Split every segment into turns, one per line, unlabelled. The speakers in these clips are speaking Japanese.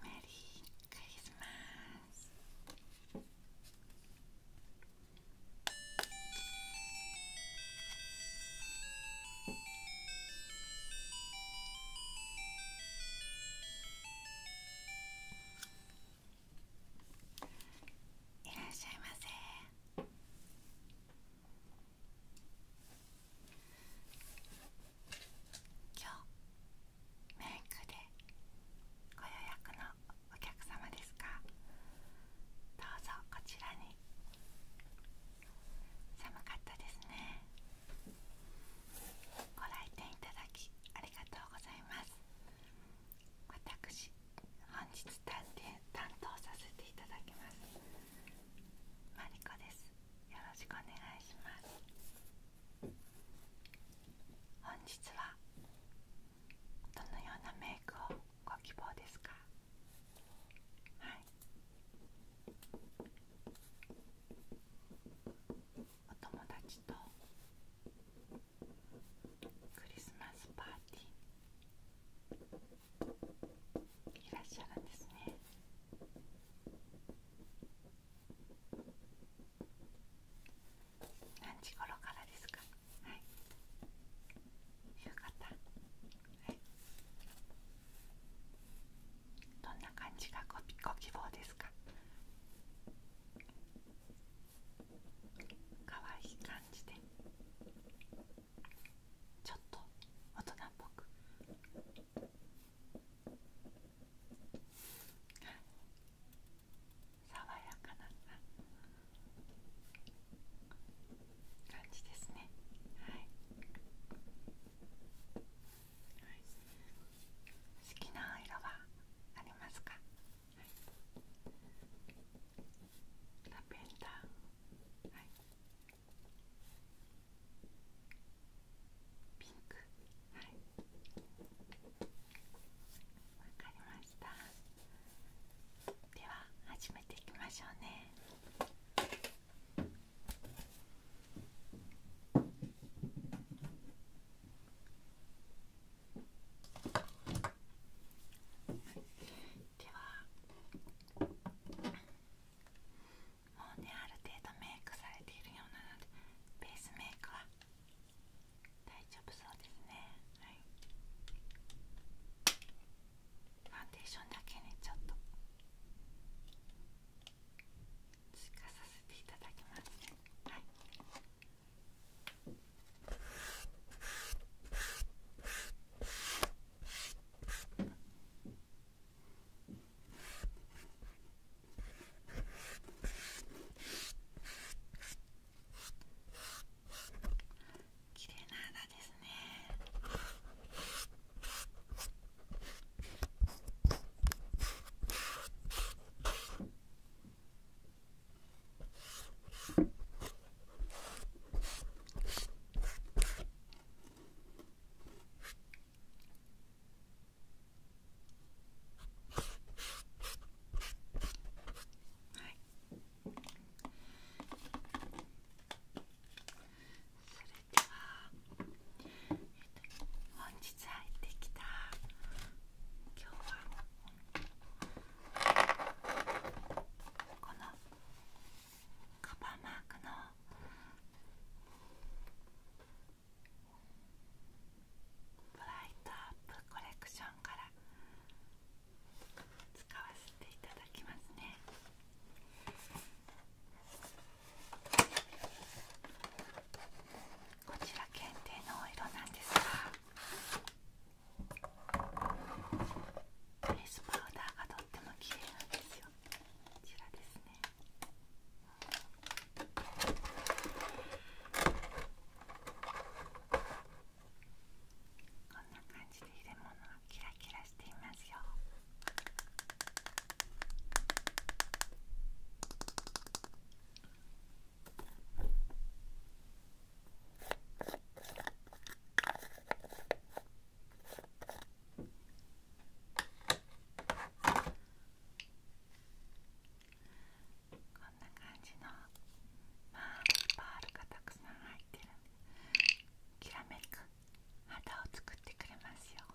Merry Christmas! いらっしゃいませ。今日メイクでご予約のお客様ですかどうぞこちらに寒かったですねご来店いただきありがとうございます私本日担当させていただきますマリコですよろしくお願いします本日はどのようなメイクをご希望ですかはいお友達とクリスマスパーティーいらっしゃるんですね何時頃からですかはい夕方。はいどんな感じがごご希望ですか可愛い感じでちょっと大人っぽく爽やかな感じですね好きな色はありますか、ラベンダーピンクはいわかりましたでは始めていきましょうねではもうねある程度メイクされているようなのでベースメイクは大丈夫そうですねはいファンデーションだけねちょっと追加させていただきますねはい綺麗な肌ですねはい。それでは。本日入ってきた今日はこのカバーマークのブライトアップコレクションから使わせていただきますねこちら限定のお色なんですが。トレスパウダーがとっても綺麗なんですよこちらですねこんな感じで入れ物がキラキラしていますよこんな感じのまあパールがたくさん入ってるんできらめく肌を作ってくれますよこ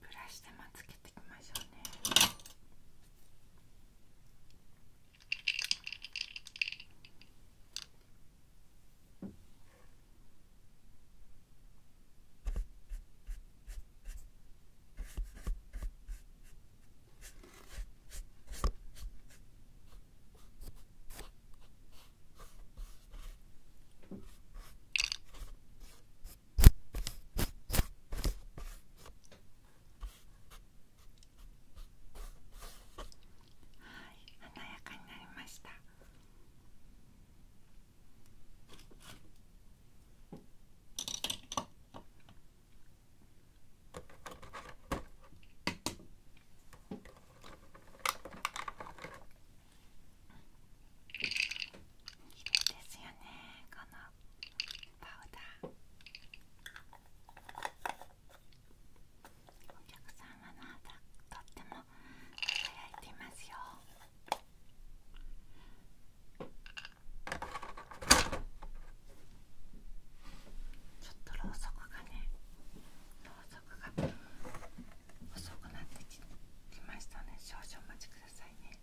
ブラシでまつけていきましょうね華やかになりました。きれいですよねこのパウダーお客様の肌とっても輝いていますよちょっとろうそくがねろうそくが遅くなってきましたね少々お待ちくださいね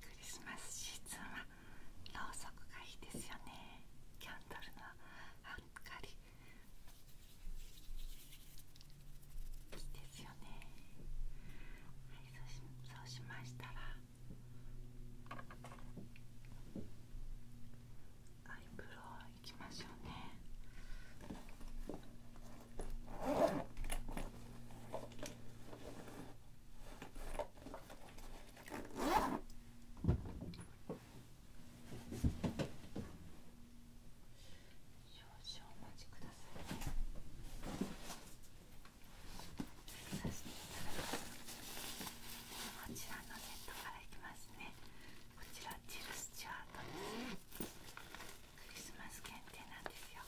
クリスマスシーズンはろうそくがいいですよねキャンドルの明かりいいですよねはいそうしそうしましたらアイブロウ行きましょうね。少々お待ちくださいね。さていただこちらのネットからいきますね。こちらチルスチュアートですクリスマス限定なんですよ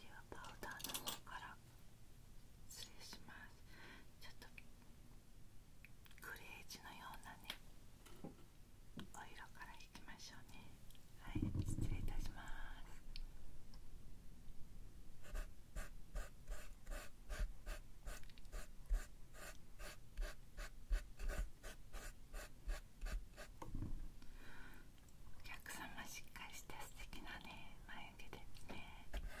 ではパウダーの方から失礼しますちょっとグレージのようなねお色からいきましょうねはい失礼いたしますお客様しっかりした素敵なね眉毛ですねはい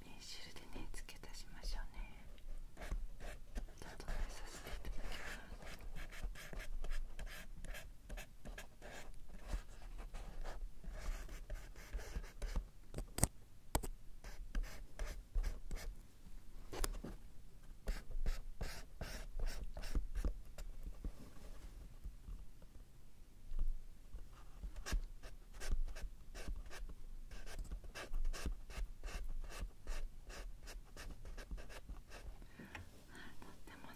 ペンシルでね付け足しましょうねちょっさせていただきますても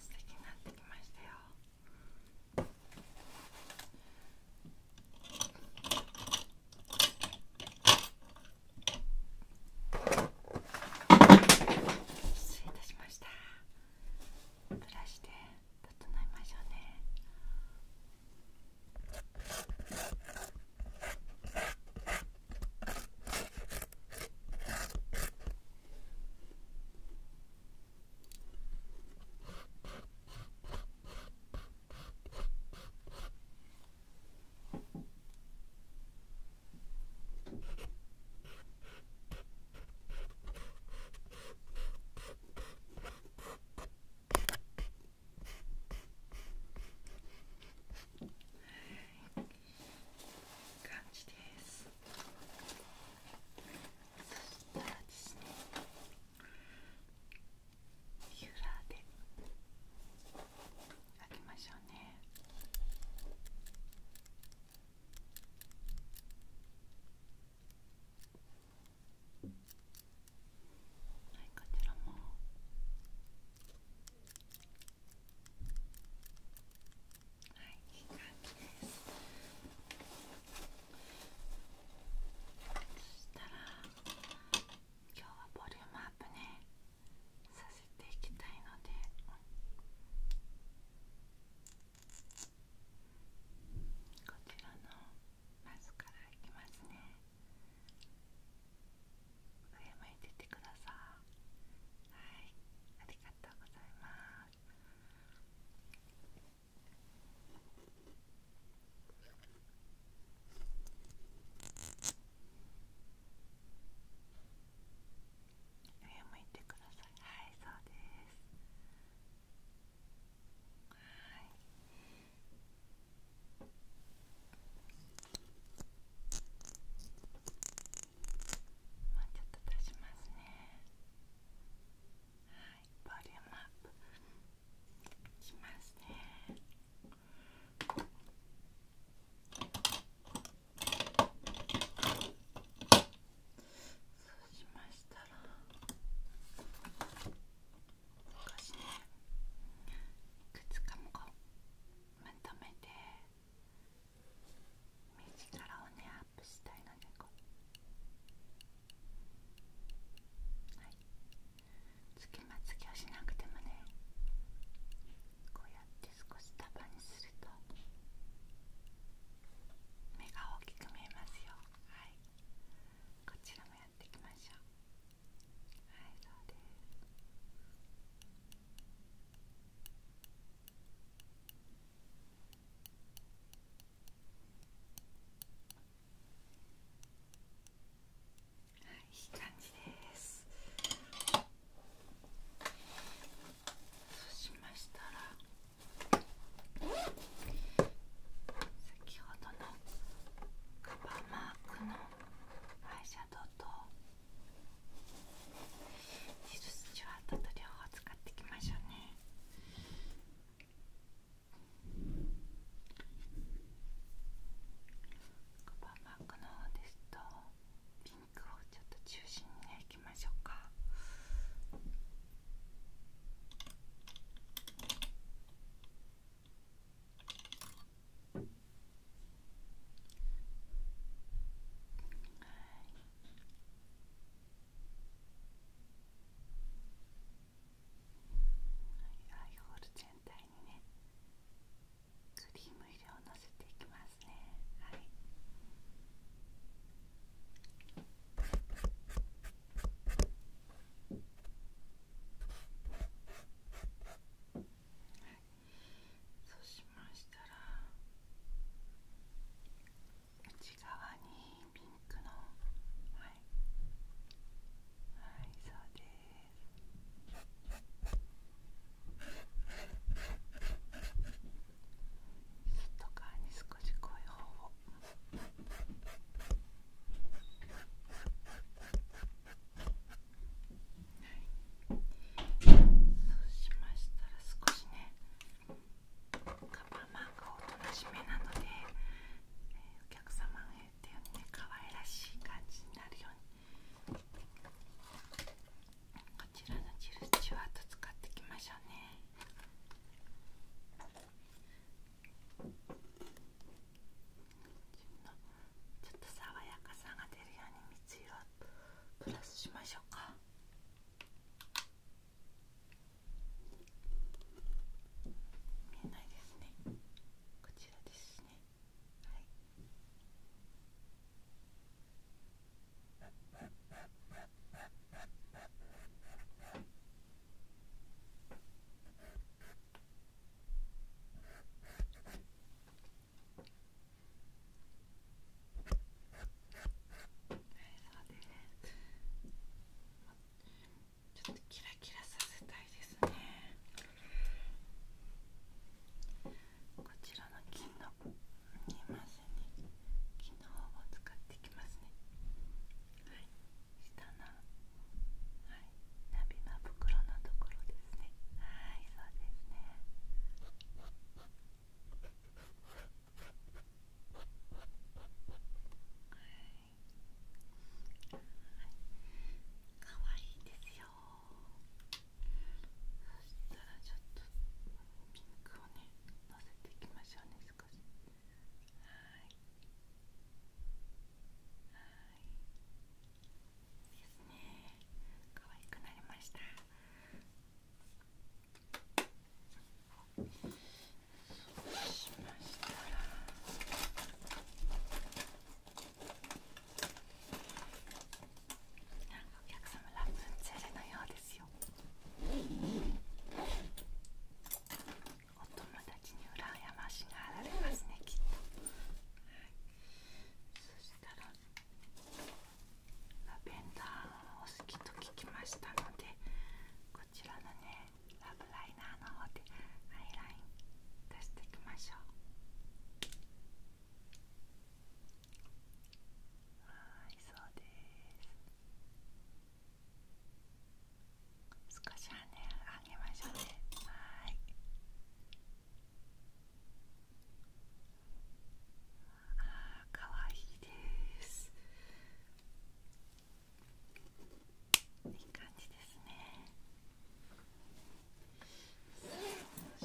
素敵になってきましたよ。失礼いたしましたブラシで整えましょうね感じです。ヒューラーで開けましょうねこちらもいい感じですそしたら今日はボリュームアップねさせていきたいのでこちらのマスからいきますね上向いててくださいはいありがとうございます上向いてくださいはいそうですもうちょっと出しますねはいボリュームアップしますねそうしましたら昔ね靴かもこうまとめて目力をねアップしたいのでこうはいつけまつげをしなくてもねこうやって少し束にすると目が大きく見えますよはいこちらもやっていきましょうはいそうですいい感じですそうしましたら先ほどのカバーマークのアイシャドウとルスチュワートと両方使っていきましょうね。こーマークの方ですとピンクをちょっと中心にねいきましょうか。はいアイホール全体にねクリーム入れをのせていきますねはいそうしましたら内側にピンクのはいはいそうです外側に少し濃い方を。そうしましたら少しねカバーマークを楽しめなので、お客様へかわいらしい感じになるようにこちらのルチュワート使っていきましょうね。ちょっと爽やかさが出るように水色プラスしましょうか。見えないですね。こちらですねちょっとキラキラさせたいですねこちらの金の見ませね金の方を使っていきますねはい下のはの袋のところですねはいそうですねはいかわいいですよそしたらちょっとピンクをねのせていきましょうね少しはいはいですね可愛くなりましたそしましたお客様ラプンツェルのようですよお友達に羨ましがられますねきっと、ラベンダーを好きと聞きましたのでこちらのねラブライナーのほうでアイライン出していきましょうはいそうです少し羽あげましょうねはいあーかわいいですいい感じですねそう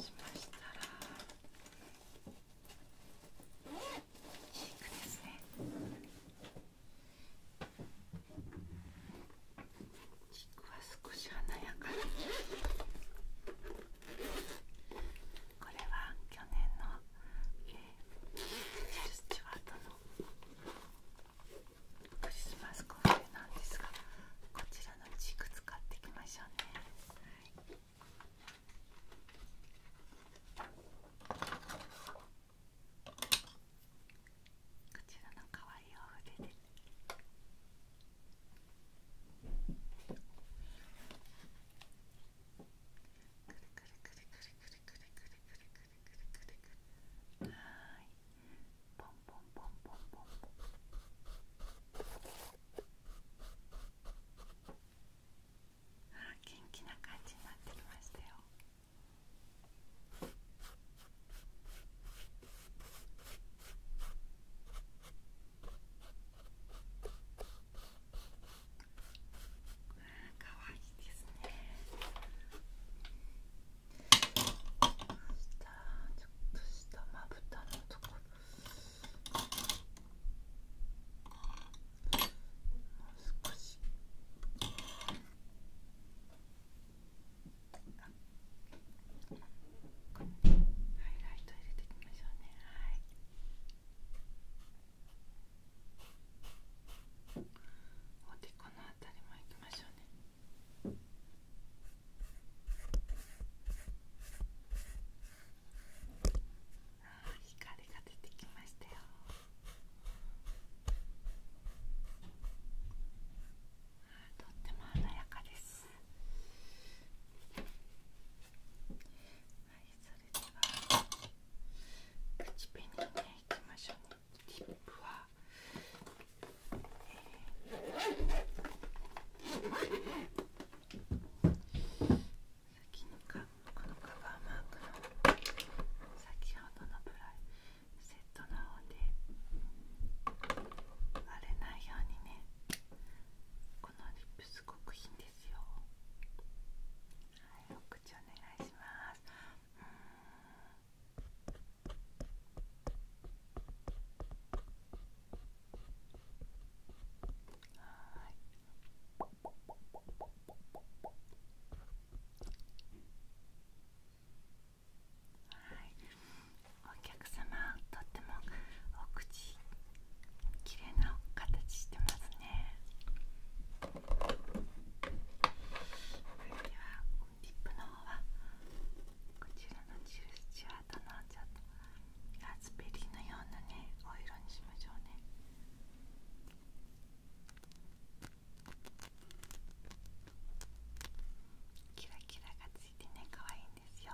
しましたらチークですねチークは少し華やかにこれは去年の、えー、ジェルスチュワートのクリスマスコーデなんですがこちらのチーク使っていきましょうね、こちらの可愛いお筆でくはいポンポンポンポンポンポあ元気な感じになってきましたよかわいいですね。ちょっとしたまぶたのところもう少しハイライト入れていきましょうねはい。おでこのあたりもいきます。光が出てきましたよとっても華やかですはいそれでは口紅にねいきましょうねリップは、えー、先にかこのカバーマークの先ほどのプラセットので割れないようにねこのリップすごくいいんですよはいお口お願いしますうんはいお客様とってもお口綺麗な形してますねではリップの方はこちらのチューチュアートのちょっとラズベリーのようなねお色にしましょうねキラキラがついてね可愛いんですよ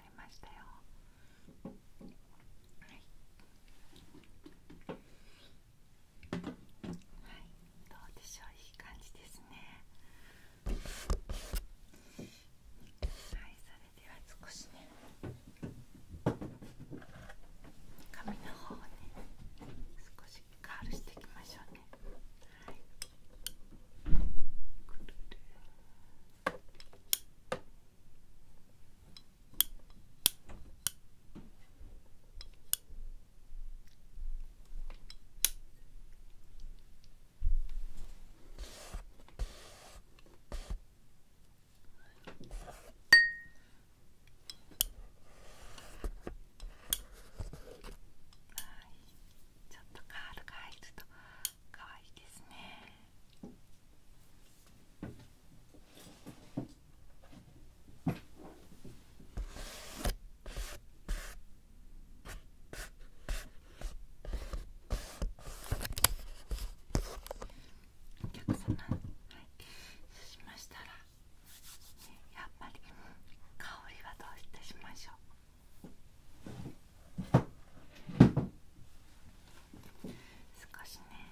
よはいどうでしょういい感じですねはいそれでは少しね髪の方をね少しカールしていきましょうねはいくるるちょっとカールが入ると可愛いですね。お客様、はい、そうしましたら、やっぱり香りはどういたしましょう。少しね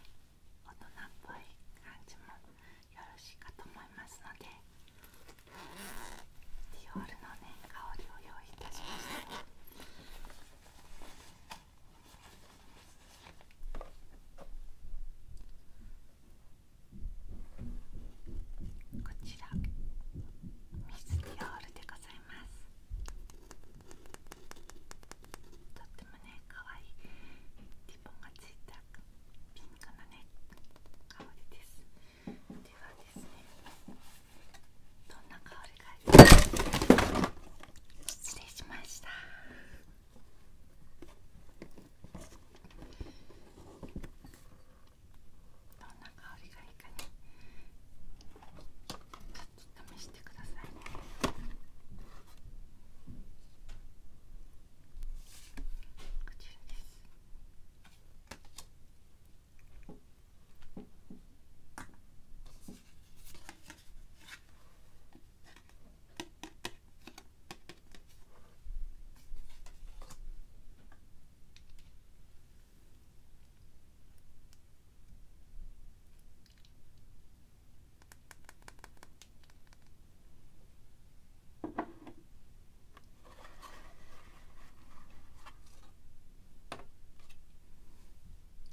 大人っぽい感じもよろしいかと思いますのでディオールの香りを用意いたしました。こちらミスディオールでござすとてもねかわいリボンがついたピンクのね香りですではですねどんな香りが失礼しましたどんな香りがいいかねちょっと試してくださいこちらです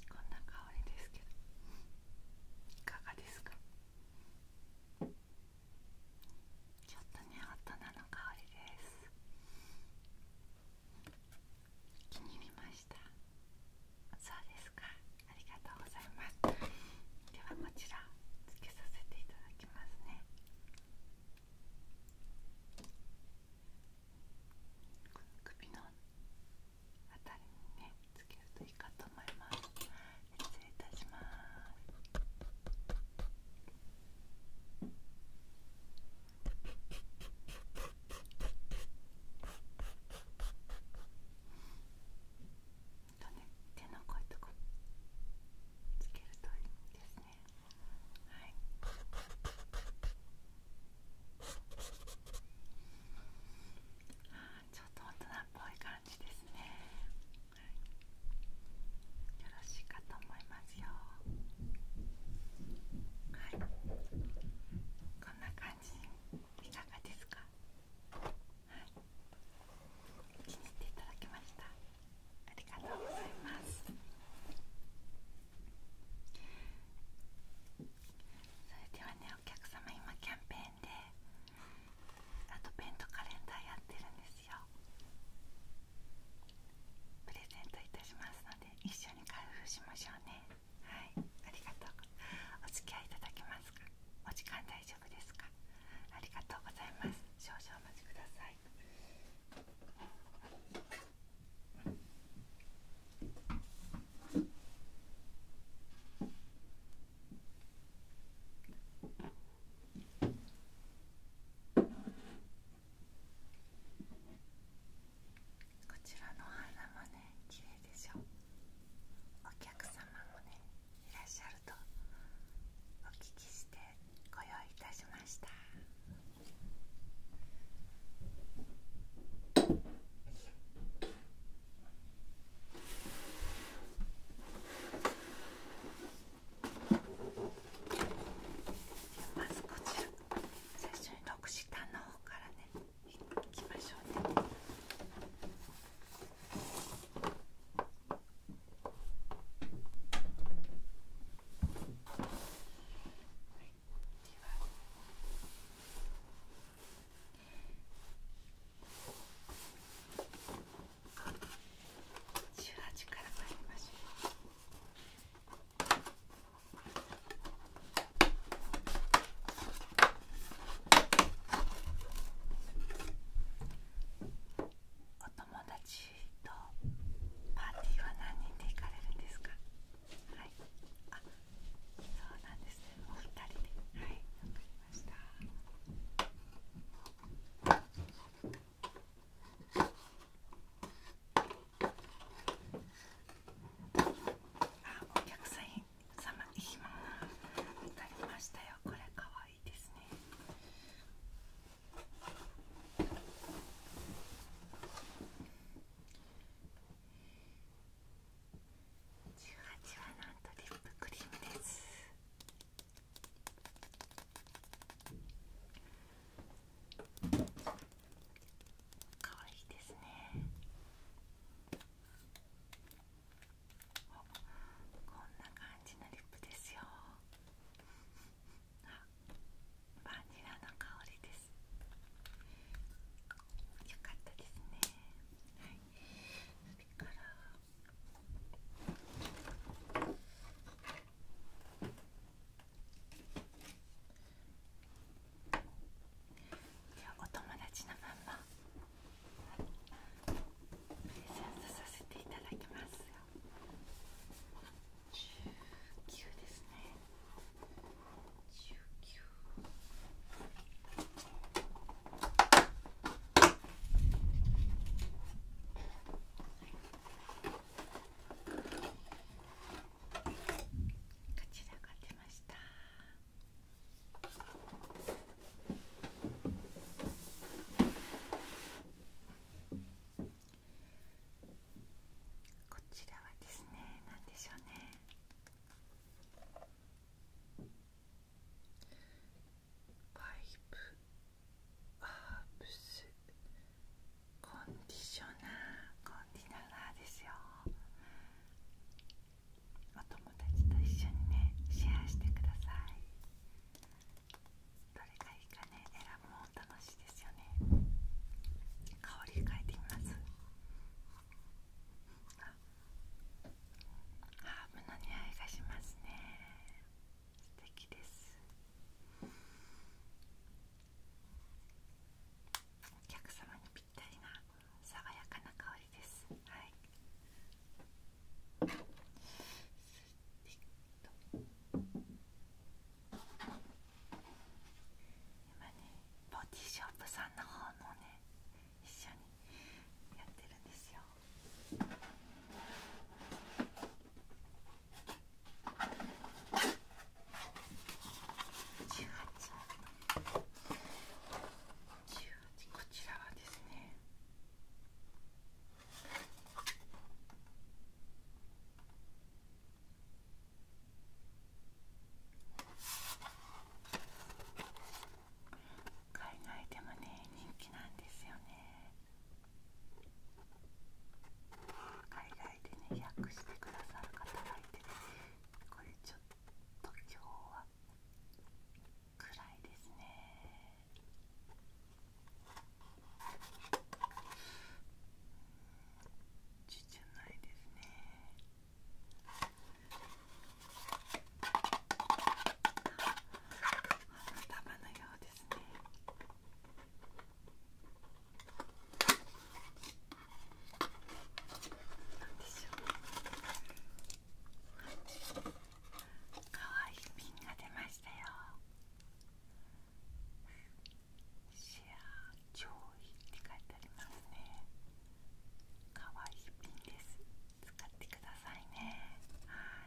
こんな香りですけどいかがですかちょっとね大人の香りです気に入りましたそうですかありがとうございますではこちらつけさせていただきますね首の辺りにねつけるといいかと思います失礼いたします手のこいとこつけるといいですねはあちょっと大人っぽい感じですね、よろしいかと思いますはいこんな感じいかがですか気に入っていただけましたありがとうございますそれではねお客様今キャンペーンでアドベントカレンダーやってるんですジをプレゼントいたしますので一緒に開封しましょうねはいありがとうお付き合いいたますかお時間大丈夫ですかありがとうございます少々お待ちくださいあこちらのお花もね綺麗でしょお客様もねいらっしゃるとお聞きしてご用意いたしましたまずこちら最初に6下の方からねいきましょうね18からまいりましょう。お友達とパーティーは何人で行かれるんですかはいあそうなんですお二人ではいわかりましたあお客さん様いいもたりましたよこれかわいいですね18はなんとリップクリームです可愛いですねこんな感じのリップですよあバニラの香りですよかったですねはいそれからお友達のまんまプレゼントさせていただきますよ19ですね19はいこちらが出ました。こちらはですね、なんでしょうね。パイプハーブスコンディショナーコンディナーですよお友達と一緒にねシェアしてくださいどれがいいかね選ぶの楽しいですよね香り変えてみますハーブの匂いがしますね素敵ですお客様にぴったりな爽やかな香りですはい今ねボディショップさんの方のね一緒にやってるんですよ。こちらはですね海外でもね人気なんですよね。海外でね訳してくださる方がいてねこれちょっと今日は暗いですねちじゃないですね頭のようですね。かわいいピンが出ましたよシェア上位って書いてありますねかわいいピンです使ってくださいねはい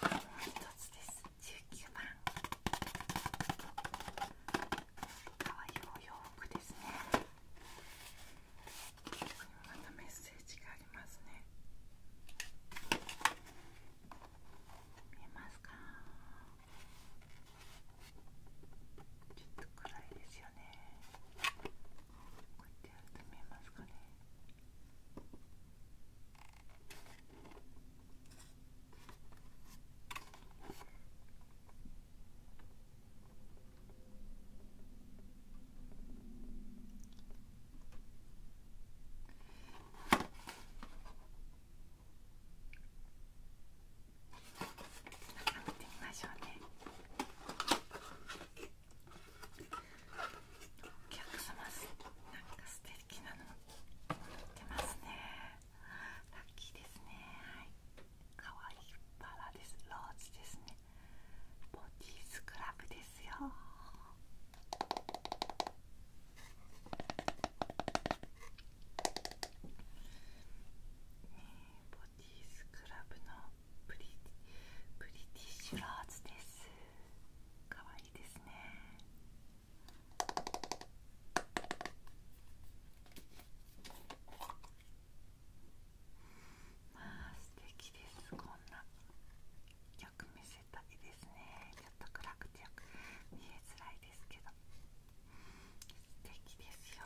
もう一つです19番かわいいお洋服ですねここにまたメッセージがありますね見えますかちょっと暗いですよねこうやってやると見えますかね見てみましょうねお客様なんか素敵きなのラッキーですねはいかわいいバですローズですねボディスクラブですよボディスクラブのプリプリティッシュローズですかわいいですねまあ素敵ですこんなよく見せたいですねちょっと暗くてよく見えづらいですけど素敵ですよ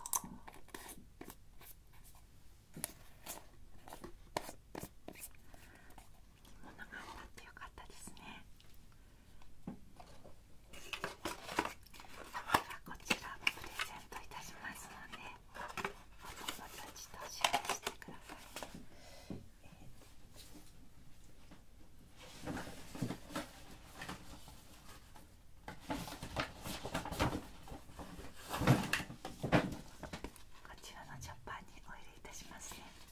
物があっってよかったですねこちらプレゼントいたしますのでお友達とシェアしてください、こちらのジョッパーにお入れいたしますねお腹が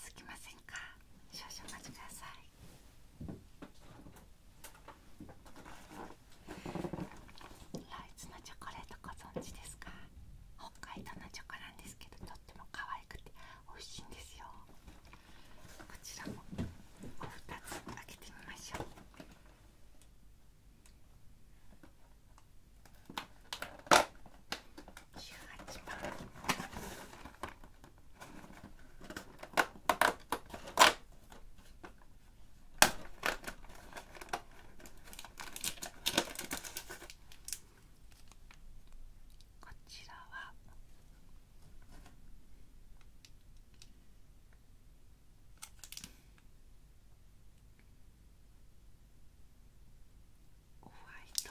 すきませんか少々お待ちくださいライイツのチョコレートご存知ですか北海道のチョコなんですけどとっても可愛くて美味しいんですよこちらもおつ開けてみましょう18番こちらはホワイト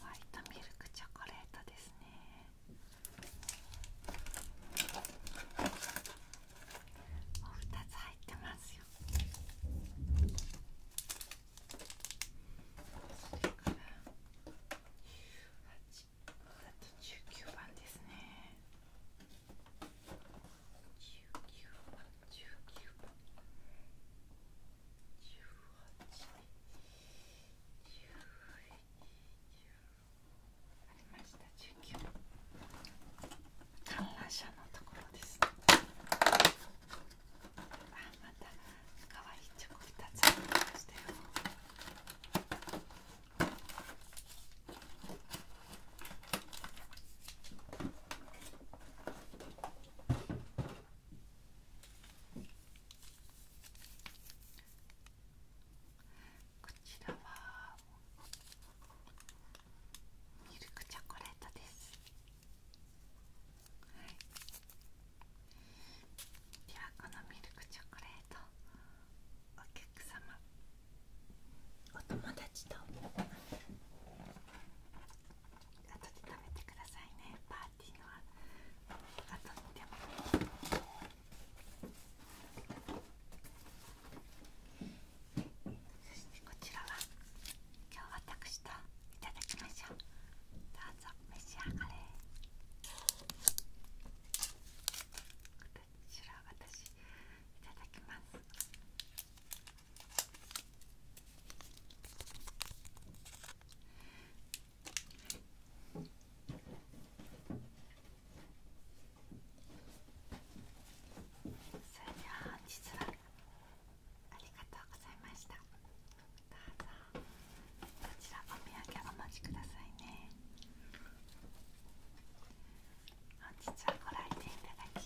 ホワイトミルクチョコレートですね。お二つ入ってますよそれから18あと19番ですね19番19番18 1 1。ありました19観覧車のところです、ね、またかわいチョコ2つありましたよこちらはミルクチョコレートですはいではこのミルクチョコレートお客様お友達と後で食べてくださいねパーティーの後にでもそしてこちらは今日私といただきましょうどうぞ召し上がれこちら私いただきますこそれでは本日はありがとうございましたどうぞこちらお土産お持ちくださいね本日はご来店いただき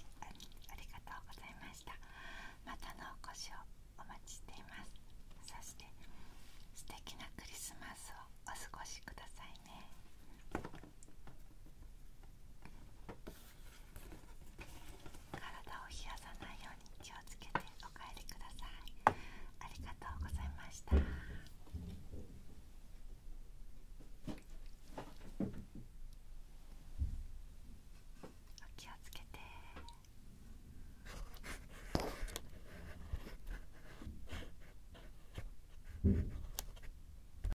ありがとうございましたまたのお越しをお待ちしていますそして素敵なクリスマスをお過ごしくださいね体を冷やさないように気をつけてお帰りくださいありがとうございましたお気をつけて